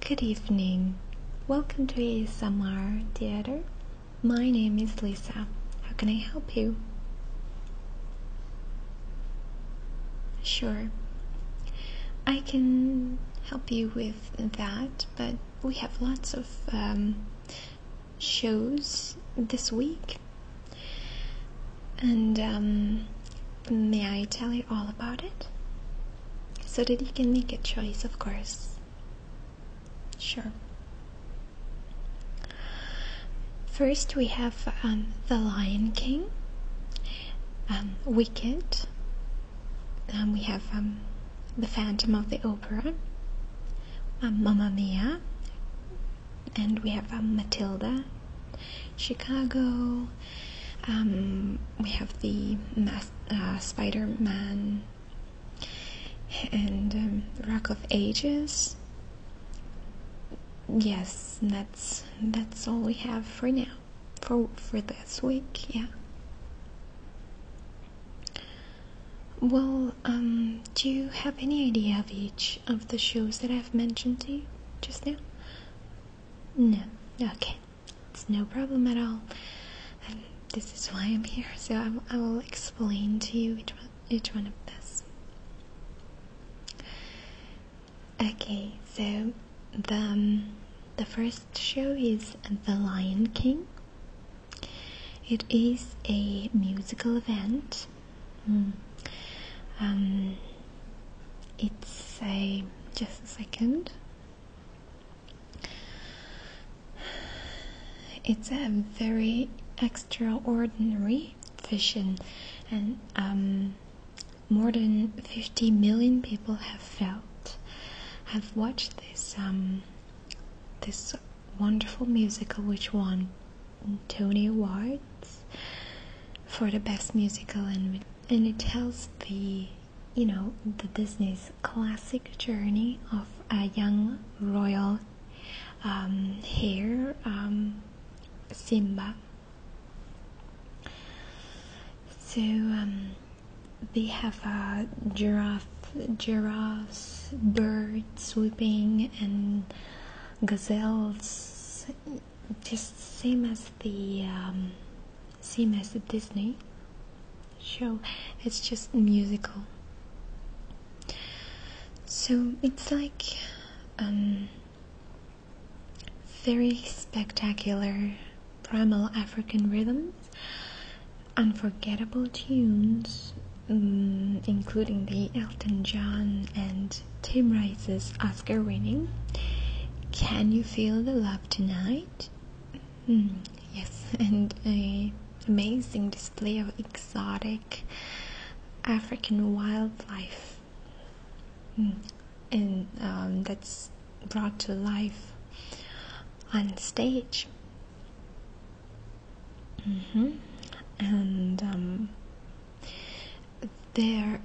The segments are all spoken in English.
Good evening. Welcome to ASMR Theater. My name is Lisa. How can I help you? Sure. I can help you with that, but we have lots of um, shows this week and um, may I tell you all about it? So that you can make a choice, of course. Sure. First, we have um, The Lion King, um, Wicked, we have The Phantom of the Opera, Mamma Mia, and we have Matilda, Chicago, um, we have the uh, Spider Man and um, Rock of Ages. Yes, that's that's all we have for now, for for this week. Yeah. Well, um, do you have any idea of each of the shows that I've mentioned to you just now? No. Okay. It's no problem at all. Um, this is why I'm here. So i will explain to you each one, each one of this. Okay. So the um, the first show is The Lion King. It is a musical event. Hmm. Um, it's a just a second it's a very extraordinary vision and um, more than 50 million people have felt have watched this um, this wonderful musical which won Tony Awards for the best musical and and it tells the you know the Disney's classic journey of a young royal um, here, um, Simba. So um, they have a giraffe, giraffes, birds swooping, and gazelles just same as the um, same as the Disney show. It's just musical. So it's like um, very spectacular primal African rhythms, unforgettable tunes, mm, including the Elton John and Tim Rice's Oscar winning. Can you feel the love tonight? Hmm, yes, and an amazing display of exotic African wildlife. Hmm, and um, that's brought to life on stage. Mm-hmm, and um, there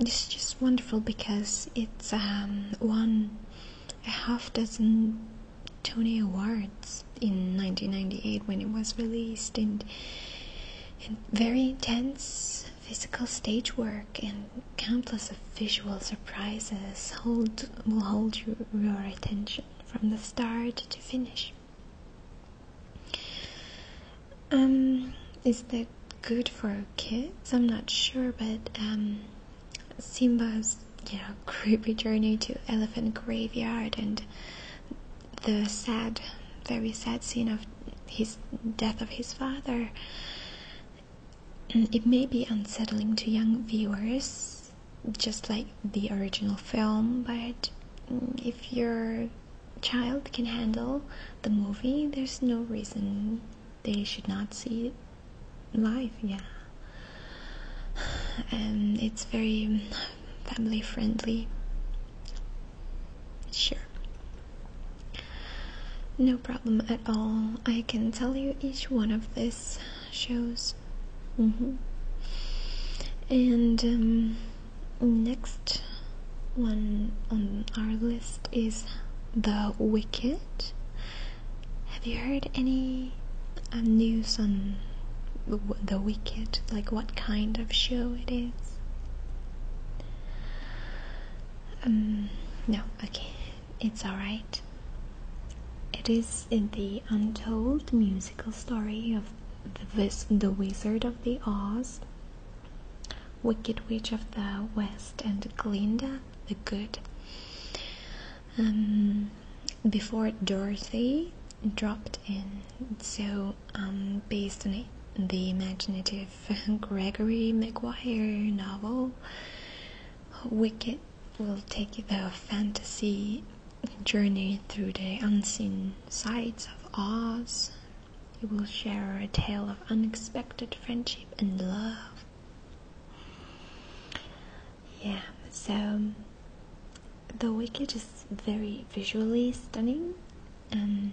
it's just wonderful because it's um, won a half dozen Tony Awards in 1998 when it was released, and, very intense physical stage work and countless of visual surprises hold will hold your attention from the start to finish. Um, is that good for kids? I'm not sure, but um, Simba's you know creepy journey to Elephant Graveyard and the sad, very sad scene of his death of his father. Mm, it may be unsettling to young viewers, just like the original film, but mm, if you're child can handle the movie, there's no reason they should not see it live. Yeah, and it's very family friendly. Sure. No problem at all. I can tell you each one of these shows. Mm-hmm. And um, next one on our list is The Wicked. Have you heard any um, news on the, Wicked? Like what kind of show it is? Um, no, okay, it's alright. It is the untold musical story of the Wizard of the Oz Wicked Witch of the West and Glinda the Good. Um, before Dorothy dropped in, so um, based on the imaginative Gregory Maguire novel, Wicked will take the fantasy journey through the unseen sides of Oz, you will share a tale of unexpected friendship and love. Yeah, so The Wicked is very visually stunning. and um,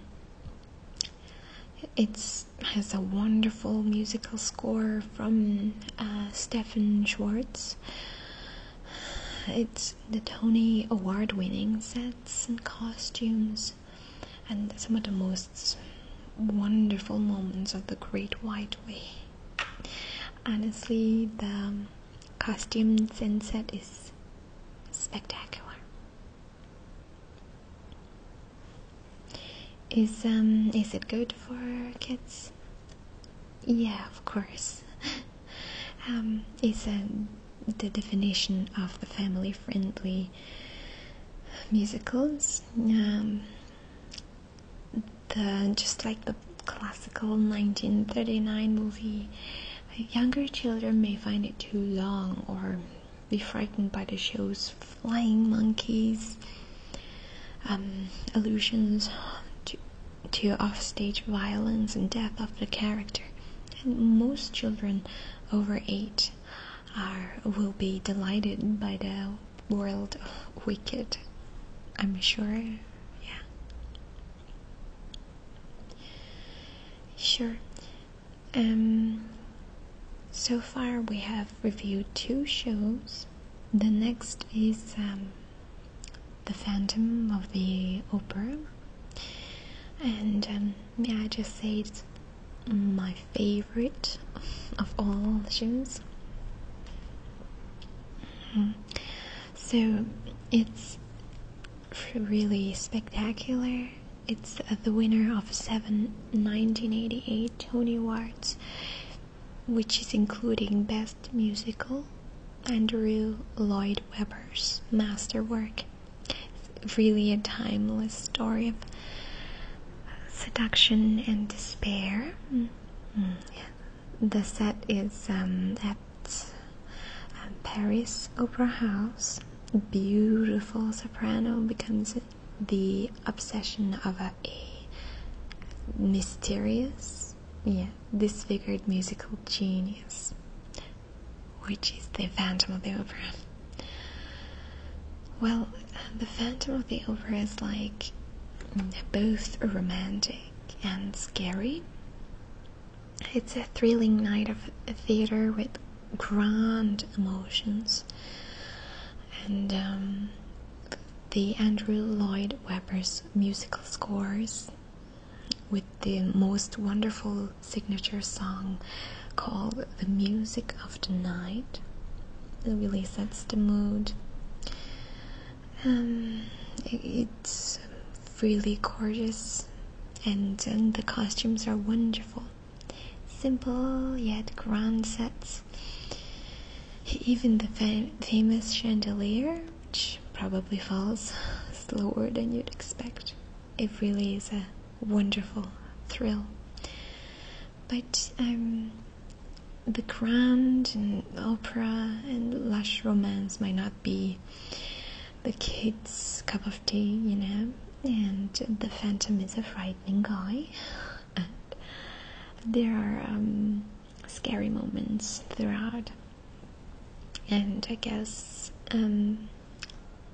it has a wonderful musical score from uh, Stefan Schwartz. It's the Tony Award winning sets and costumes and some of the most wonderful moments of the Great White Way. Honestly, the costume set is spectacular. Is um is it good for kids? Yeah, of course. um, it's a um, the definition of the family-friendly musicals. Um, the just like the classical 1939 movie, younger children may find it too long or be frightened by the show's flying monkeys, um, allusions to, to offstage violence and death of the character. And most children over eight are will be delighted by the world of wicked. I'm sure. Yeah. Sure. Um so far we have reviewed two shows. The next is um, The Phantom of the Opera. And um, may I just say it's my favorite of all the shows. Hmm. So it's really spectacular. It's uh, the winner of seven 1988 Tony Awards, which is including Best Musical, Andrew Lloyd Webber's masterwork, it's really a timeless story of seduction and despair. Mm, mm, the set is um, at um, Paris Opera House. Beautiful soprano becomes the obsession of a, a mysterious, yeah, disfigured musical genius which is the Phantom of the Opera. Well, the Phantom of the Opera is like both romantic and scary. It's a thrilling night of theater with grand emotions. And um, the Andrew Lloyd Webber's musical scores with the most wonderful signature song called The Music of the Night. It really sets the mood. Um, it's really gorgeous, and, and the costumes are wonderful. Simple yet grand sets. Even the famous chandelier, which probably falls slower than you'd expect it really is a wonderful thrill. But um, the grand opera and lush romance might not be the kid's cup of tea, you know. And the Phantom is a frightening guy. And there are um, scary moments throughout and I guess um,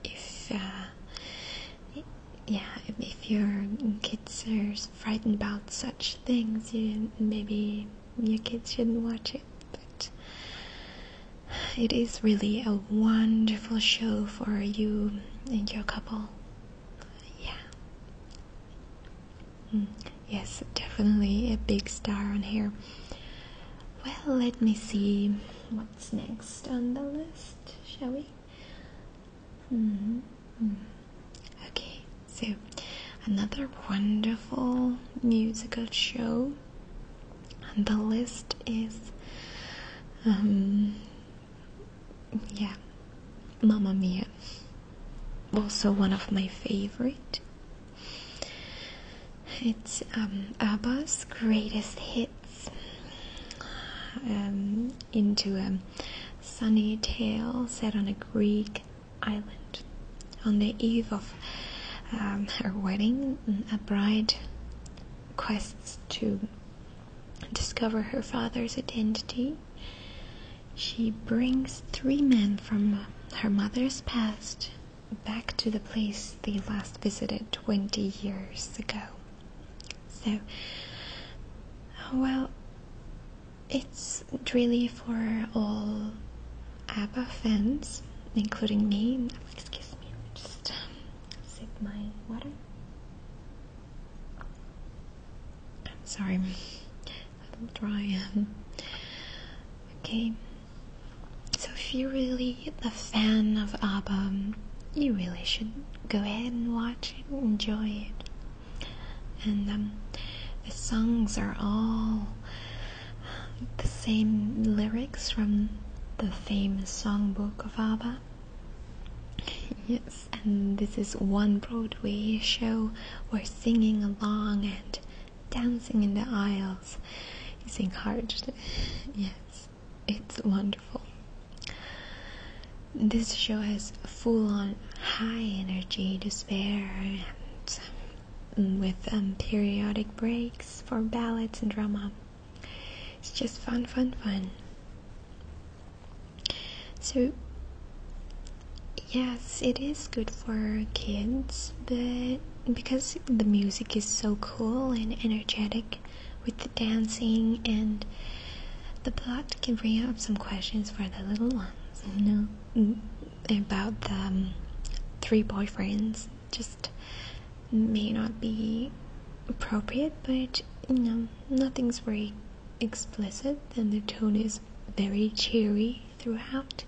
if uh, yeah, if your kids are frightened about such things, you maybe your kids shouldn't watch it. But it is really a wonderful show for you and your couple. Yeah. Mm, yes, definitely a big star on here. Well, let me see what's next on the list, shall we? Hmm, -hmm. Okay, so another wonderful musical show on the list is, um, yeah, Mamma Mia. Also, one of my favorite. It's um, ABBA's greatest hits. Um, into a um, sunny tale set on a Greek island. On the eve of her wedding, a bride quests to discover her father's identity. She brings three men from her mother's past back to the place they last visited 20 years ago. So, well, it's really for all ABBA fans, including me. Excuse me, just um, sip my water. I'm sorry, a little dry. Um, okay. So if you're really a fan of ABBA, you really should go ahead and watch it, enjoy it. And um, the songs are all the same lyrics from the famous songbook of ABBA. Yes, and this is one Broadway show where singing along and dancing in the aisles is encouraged. yes it's wonderful. This show has full on high energy to spare and um, with um, periodic breaks for ballads and drama. It's just fun, fun, fun. So, yes, it is good for kids, but because the music is so cool and energetic with the dancing and the plot can bring up some questions for the little ones, you know, mm, about the um, three boyfriends. Just may not be appropriate, but you know, nothing's very explicit, and the tone is very cheery throughout,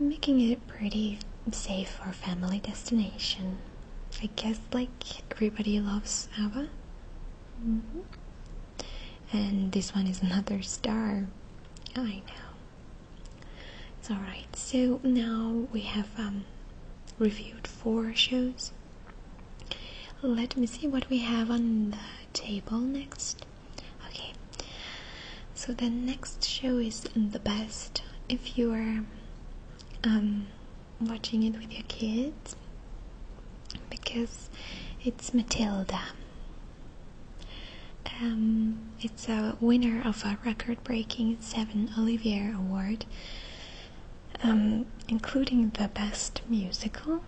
making it pretty safe for family destination. I guess like everybody loves Ava. Mm-hmm. And this one is another star. I know. It's alright. So now we have um, reviewed four shows. Let me see what we have on the table next. Okay, so the next show is the best if you are um, watching it with your kids because it's Matilda. Um, it's a winner of a record-breaking seven Olivier Award, um, including the Best Musical.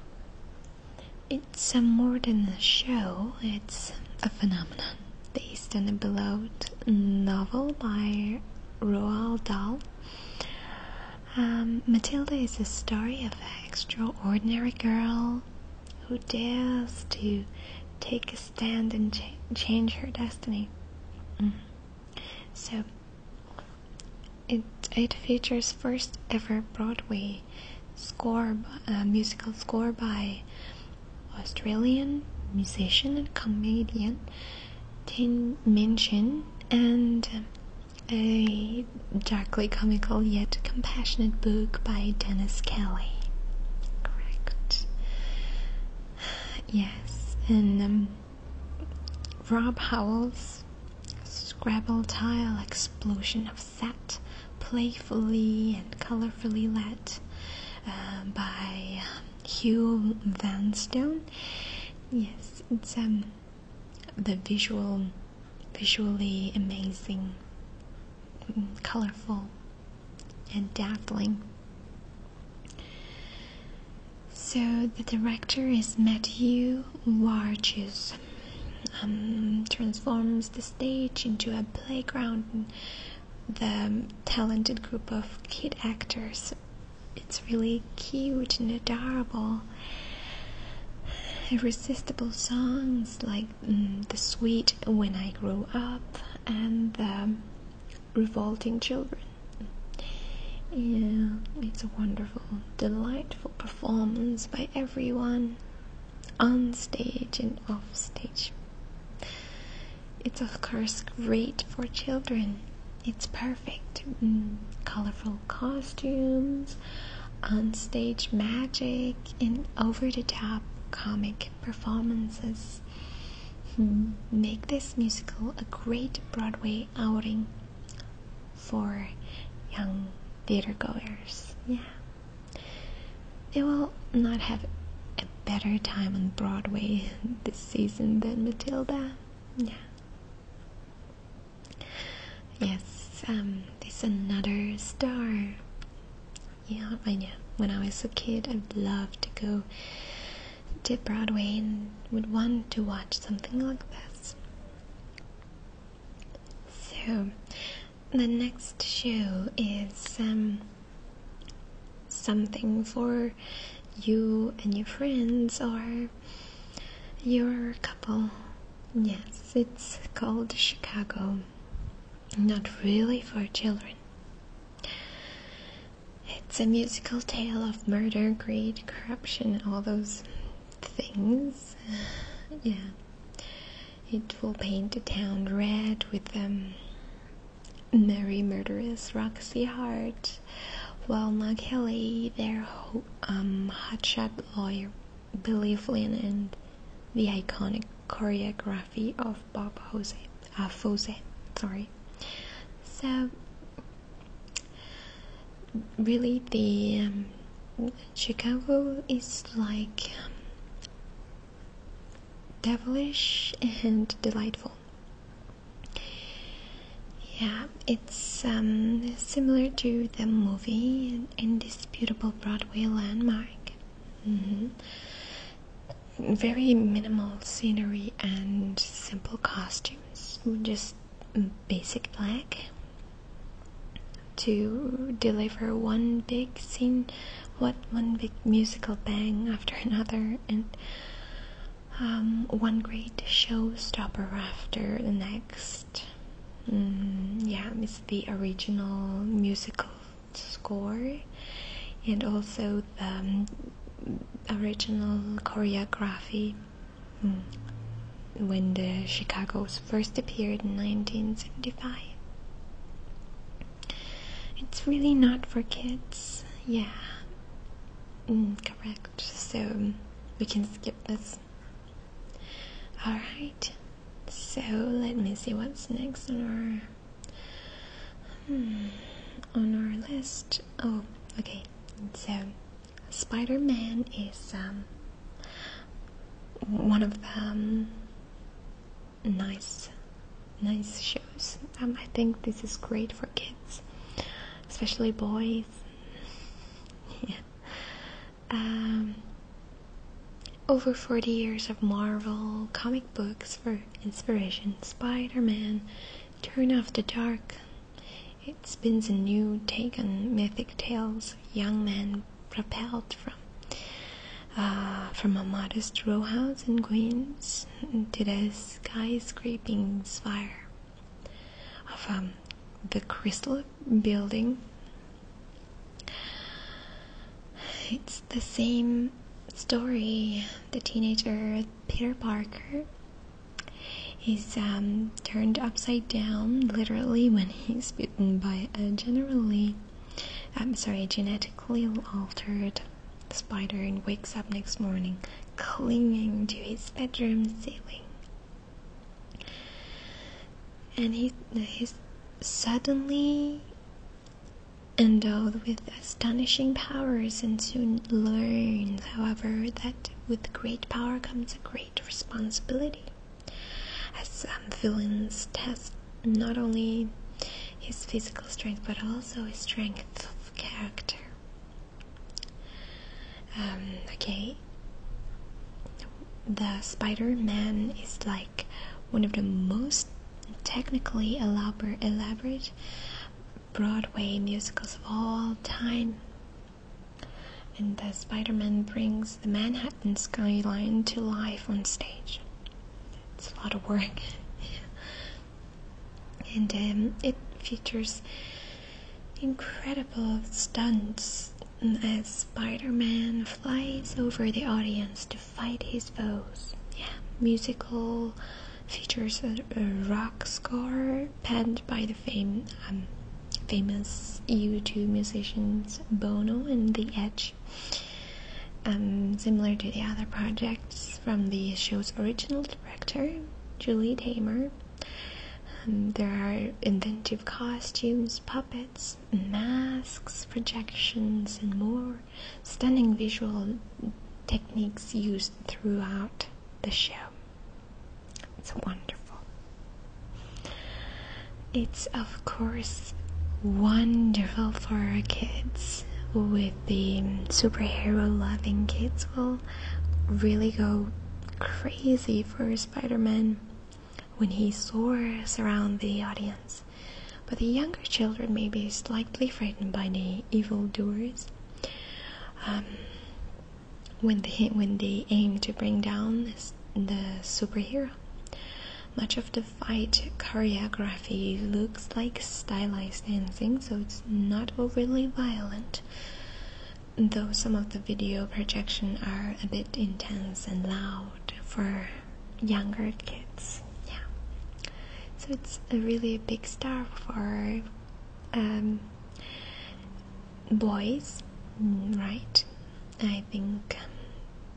It's more than a show; it's a phenomenon based on a beloved novel by Roald Dahl. Um, Matilda is a story of an extraordinary girl who dares to take a stand and change her destiny. Mm-hmm. So, it, it features first ever Broadway score, uh, musical score by Australian musician and comedian Tin Minchin and um, a darkly comical yet compassionate book by Dennis Kelly. Correct. Yes, and um, Rob Howell's Scrabble tile explosion of set, playfully and colorfully let um, by um, Hugh Vanstone. Yes, it's um the visual, visually amazing, colorful, and dazzling. So the director is Matthew Warchus. Um, transforms the stage into a playground the um, talented group of kid actors. It's really cute and adorable. Irresistible songs like mm, The Sweet When I Grow Up and The um, Revolting Children. Yeah, it's a wonderful, delightful performance by everyone on stage and off stage. It's of course great for children. It's perfect. Mm, colorful costumes, onstage magic, and over the top comic performances. Hmm, make this musical a great Broadway outing for young theatergoers. Yeah. They will not have a better time on Broadway this season than Matilda. Yeah. Yes, um, there's another star. Yeah, I know. When I was a kid, I'd love to go to Broadway and would want to watch something like this. So, the next show is um, something for you and your friends or your couple. Yes, it's called Chicago. Not really for children. It's a musical tale of murder, greed, corruption, all those things. Yeah. It will paint the town red with um, Mary Murderess, Roxy Hart, while Kelly, their um, hotshot lawyer Billy Flynn, and the iconic choreography of Bob Jose, uh, Fose, sorry. So, really, the um, Chicago is like um, devilish and delightful. Yeah, it's um, similar to the movie indisputable Broadway landmark. Mm-hmm. Very minimal scenery and simple costumes, just basic black to deliver one big scene what one big musical bang after another, and um, one great showstopper after the next. Mm, yeah, it's the original musical score, and also the um, original choreography. Mm, when the Chicago's first appeared in 1975. It's really not for kids. Yeah. Mm, correct. So we can skip this. Alright. So let me see what's next on our hmm, on our list. Oh, okay. So Spider Man is um one of them nice nice shows um, i think this is great for kids especially boys yeah um, over 40 years of marvel comic books for inspiration spider-man turn off the dark it spins a new take on mythic tales young men propelled from uh, from a modest row house in Queens to the skyscraping spire of um, the Crystal Building. It's the same story. The teenager Peter Parker is um, turned upside down literally when he's bitten by a generally I'm sorry, genetically altered spider and wakes up next morning clinging to his bedroom ceiling. And he he's suddenly endowed with astonishing powers and soon learns, however, that with great power comes a great responsibility. As some um, villains test not only his physical strength, but also his strength of character. Um, okay. The Spider Man is like one of the most technically elaborate Broadway musicals of all time. And the Spider Man brings the Manhattan skyline to life on stage. It's a lot of work. and um, it features incredible stunts as Spider-Man flies over the audience to fight his foes. Yeah, musical features a, rock score penned by the um, famous YouTube musicians Bono and The Edge. Um, similar to the other projects from the show's original director, Julie Tamer, um, there are inventive costumes, puppets, masks, projections, and more stunning visual techniques used throughout the show. It's wonderful. It's, of course, wonderful for our kids with the superhero loving kids will really go crazy for Spider-Man when he soars around the audience. But the younger children may be slightly frightened by the evil doers um, when they when they aim to bring down the superhero. Much of the fight choreography looks like stylized dancing, so it's not overly violent, though some of the video projections are a bit intense and loud for younger kids. Yeah. So it's a really big star for um, boys, mm, right? I think um,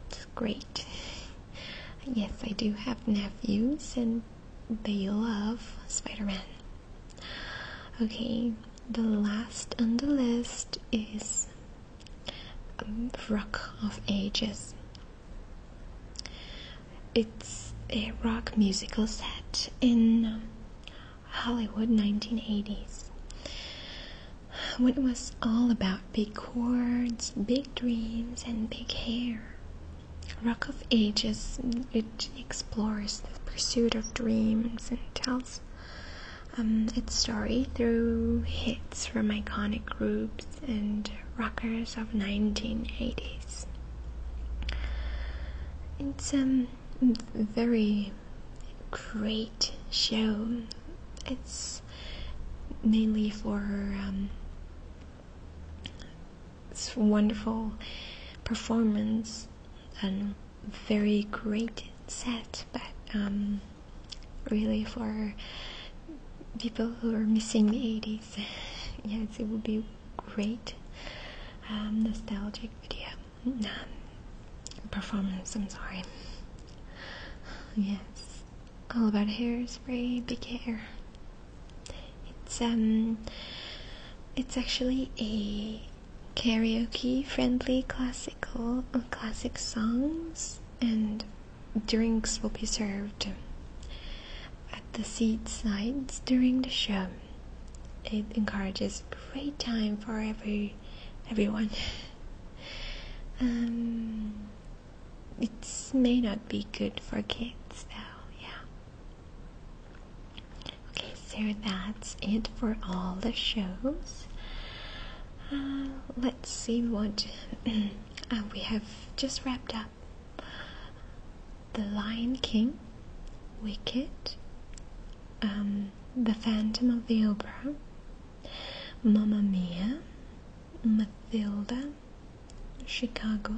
it's great. Yes, I do have nephews, and they love Spider Man. Okay, the last on the list is um, Rock of Ages. It's a rock musical set in um, Hollywood 1980s. What it was all about big chords, big dreams, and big hair. Rock of Ages, it explores the pursuit of dreams and tells um, its story through hits from iconic groups and rockers of 1980s. It's a um, very great show. It's mainly for um, it's a wonderful performance and very great set, but um, really for people who are missing the 80s, yes, it would be great um, nostalgic video. performance, I'm sorry. Yes all about hairspray, big hair. It's um, it's actually a karaoke-friendly classical uh, classic songs, and drinks will be served um, at the seat sides during the show. It encourages great time for every everyone. Um, it may not be good for kids though, yeah. Okay, so that's it for all the shows. Uh, let's see what uh, we have just wrapped up. The Lion King, Wicked, um, The Phantom of the Opera, Mamma Mia, Matilda, Chicago,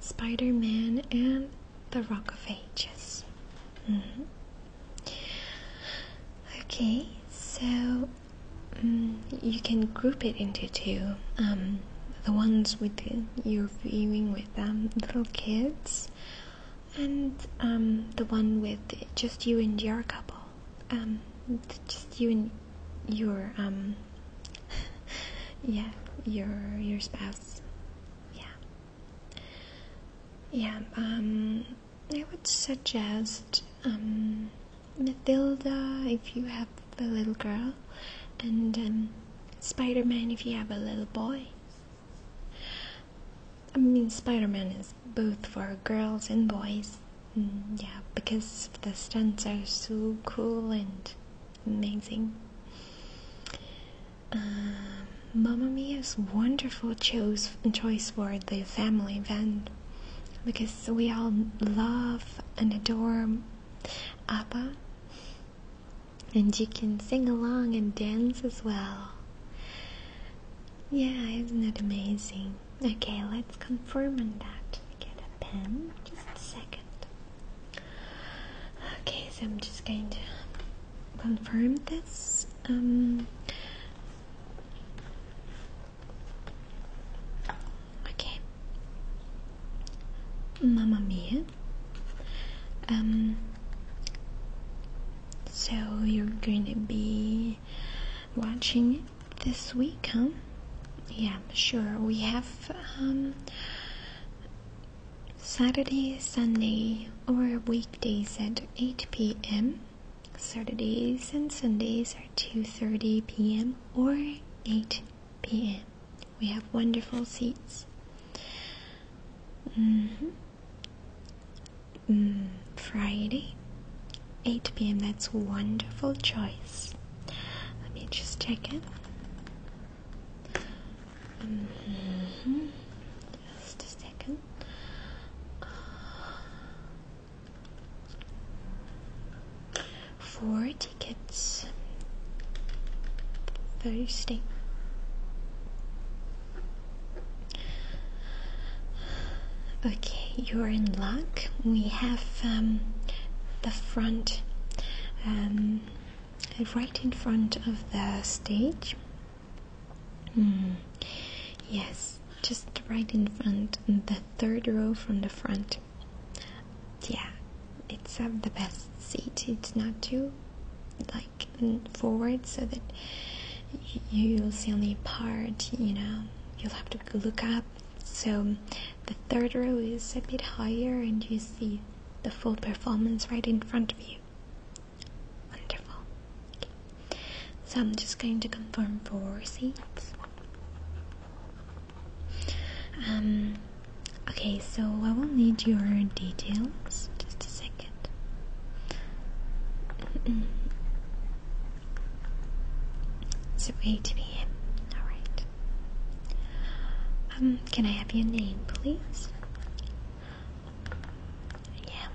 Spider Man, and The Rock of Ages. Mm-hmm. Okay, so mm, you can group it into two. Um, the ones with you're viewing with um, little kids, and um, the one with just you and your couple. Um, just you and your um, yeah, your your spouse. Yeah. Yeah. Um, I would suggest um, Matilda if you have a little girl, and um, Spider Man if you have a little boy. I mean, Spider Man is both for girls and boys. Mm, yeah, because the stunts are so cool and amazing. Uh, Mia is wonderful choice choice for the family event, because we all love and adore Abba, and you can sing along and dance as well. Yeah, isn't that amazing? Okay, let's confirm on that. Get a pen, just a second. Okay, so I'm just going to confirm this. Um, okay. Mamma Mia. Um, so you're going to be watching this week, huh? Yeah, sure. We have um, Saturday, Sunday, or weekdays at 8 p.m. Saturdays and Sundays are 2:30 p.m. or 8 p.m. We have wonderful seats. Mm-hmm. Mm, Friday, 8 p.m. That's wonderful choice. Let me just check it. Mm-hmm. Just a second. Four tickets. Thursday. Okay, you're in luck. We have um, the front, um, right in front of the stage. Hmm. Yes, just right in front, the third row from the front. Yeah, it's uh, the best seat. It's not too like forward so that you'll see only part, you know, you'll have to look up. So the third row is a bit higher and you see the full performance right in front of you. Wonderful. So I'm just going to confirm four seats. Um, okay, so I will need your details. Just a second. It's a to be in. Alright. Um, can I have your name, please? Yeah.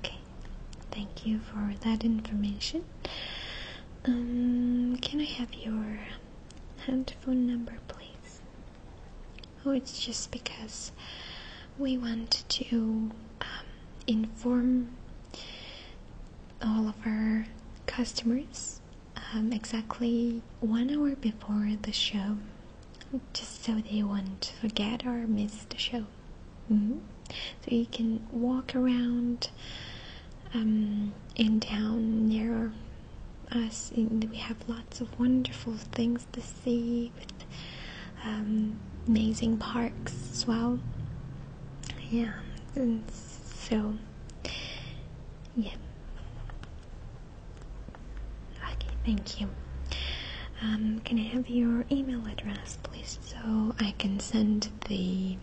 Okay. Thank you for that information. Um, can I have your handphone number, please? or oh, it's just because we want to um, inform all of our customers um, exactly one hour before the show, just so they won't forget or miss the show. Mm-hmm. So you can walk around um, in town near us. we have lots of wonderful things to with um, amazing parks as well. Yeah, and so yeah. Okay, thank you. Um, can I have your email address, please, so I can send the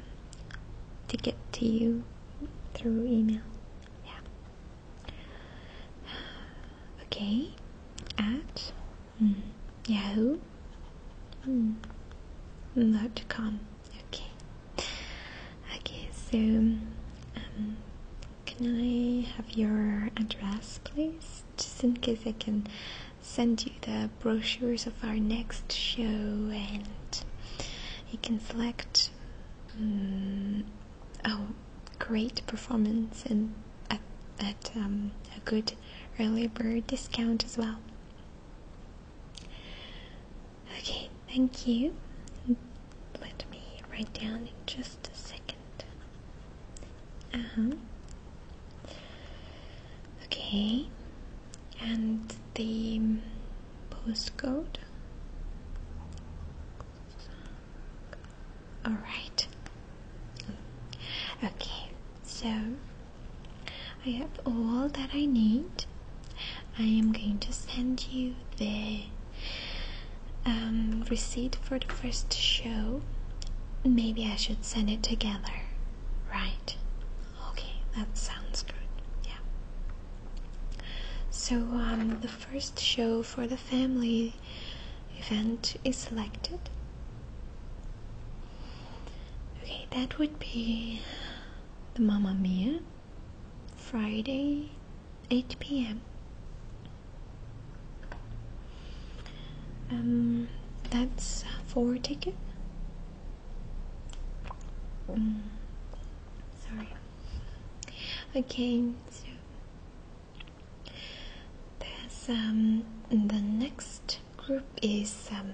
ticket to you through email? Yeah. Okay. At Mm. Yahoo. Mm. Dot hmm. com. Okay. Okay. So, um, can I have your address, please? Just in case I can send you the brochures of our next show, and you can select. Mm, oh, great performance and at, um, a good early bird discount as well. Okay, thank you. Let me write down in just a second. Uh-huh. Okay, and the postcode. Alright. Okay, so I have all that I need. I am going to send you the um, receipt for the first show. Maybe I should send it together, right? Okay, that sounds good. Yeah. So um, the first show for the family event is selected. Okay, that would be the Mama Mia Friday 8 p.m. Um, that's for ticket. Mm, sorry. Okay, so um, the next group is um,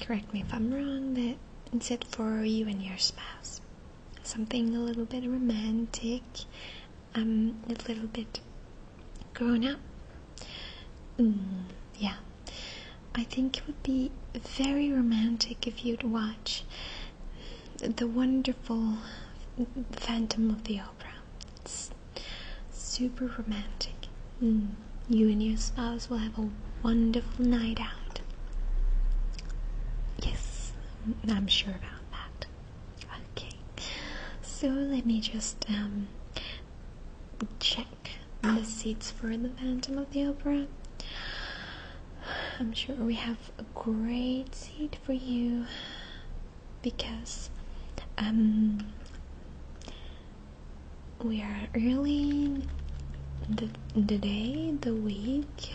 correct me if I'm wrong it's it for you and your spouse. Something a little bit romantic, um, a little bit grown up. Mm, yeah, I think it would be very romantic if you'd watch the wonderful Phantom of the Opera. It's super romantic. Mm. You and your spouse will have a wonderful night out. Yes, I'm sure about that. Okay, so let me just um, check the seats for the Phantom of the Opera. I'm sure we have a great seat for you because um, we are early the, the day, the week.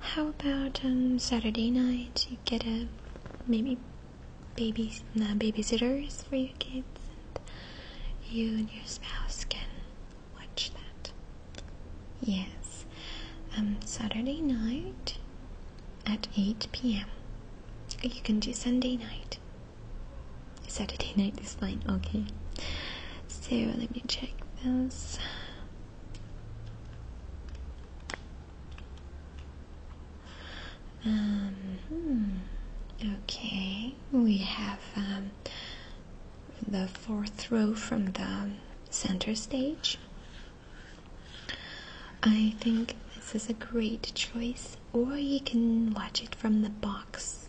How about um, Saturday night? You get a maybe babies, babysitters for your kids, and you and your spouse can watch that. Yes, um, Saturday night at 8 p.m. You can do Sunday night. Saturday night is fine, okay. So let me check this. Um, hmm, okay, we have um, the fourth row from the center stage I think this is a great choice, or you can watch it from the box,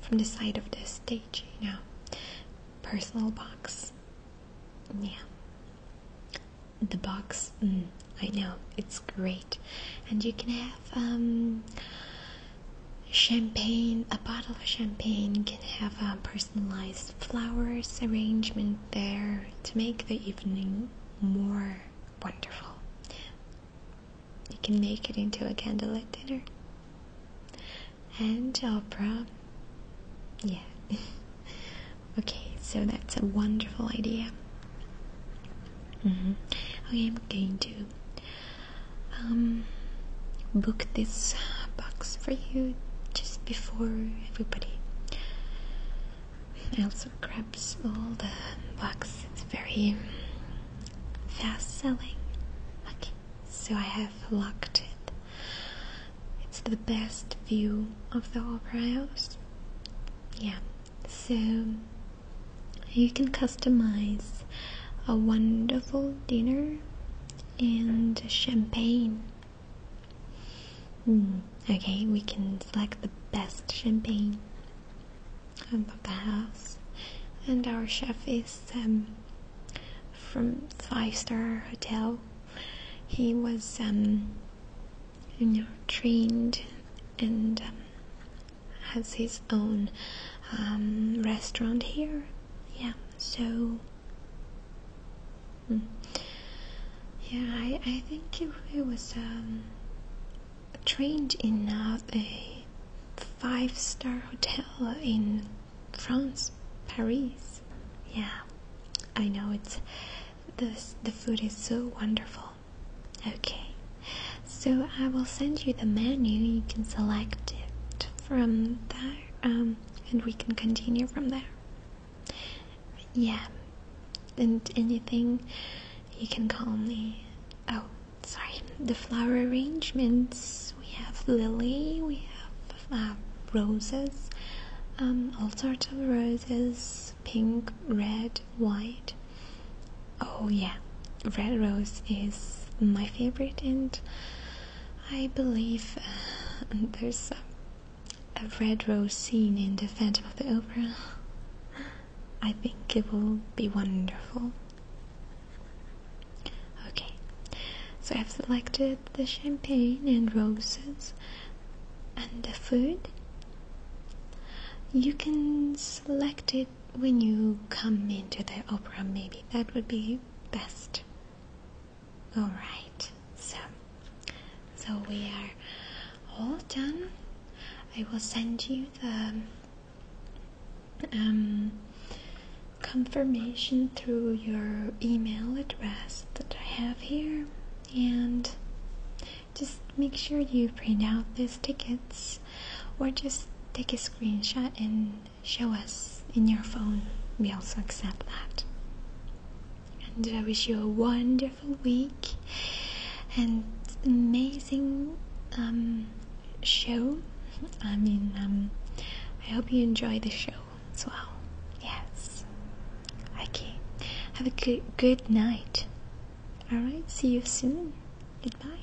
from the side of the stage, you know, personal box. Yeah, the box. Mm, I know it's great, and you can have um champagne, a bottle of champagne. You can have a uh, personalized flowers arrangement there to make the evening more wonderful. You can make it into a candlelit dinner. And opera. Yeah. okay, so that's a wonderful idea. Mm-hmm. Okay, I'm going to um, book this box for you just before everybody also grabs all the books. It's very fast selling. Okay, so I have locked it. It's the best view of the opera house. Yeah, so you can customize a wonderful dinner and champagne Hmm. okay, we can select the best champagne. I love the house. And our chef is um, from five star hotel. He was um, trained and um, has his own restaurant here yeah so hmm. yeah I, I think it, it was um, trained in uh, a five star hotel in France Paris yeah I know it's the, the food is so wonderful okay so I will send you the menu you can select it from there um, and we can continue from there. Yeah, and anything you can call me. Oh, sorry, the flower arrangements. We have lily, we have uh, roses, um, all sorts of roses pink, red, white. Oh, yeah, red rose is my favorite, and I believe uh, there's a red rose scene in The Phantom of the Opera. I think it will be wonderful. Okay, so I've selected the champagne and roses and the food. You can select it when you come into the opera, maybe that would be best all right so so we are all done I will send you the um, confirmation through your email address that I have here and just make sure you print out these tickets or just take a screenshot and show us in your phone. We also accept that. And I wish you a wonderful week and amazing um, show. I mean, um, I hope you enjoy the show as well. Yes. Okay. Have a good good night. All right. See you soon. Goodbye.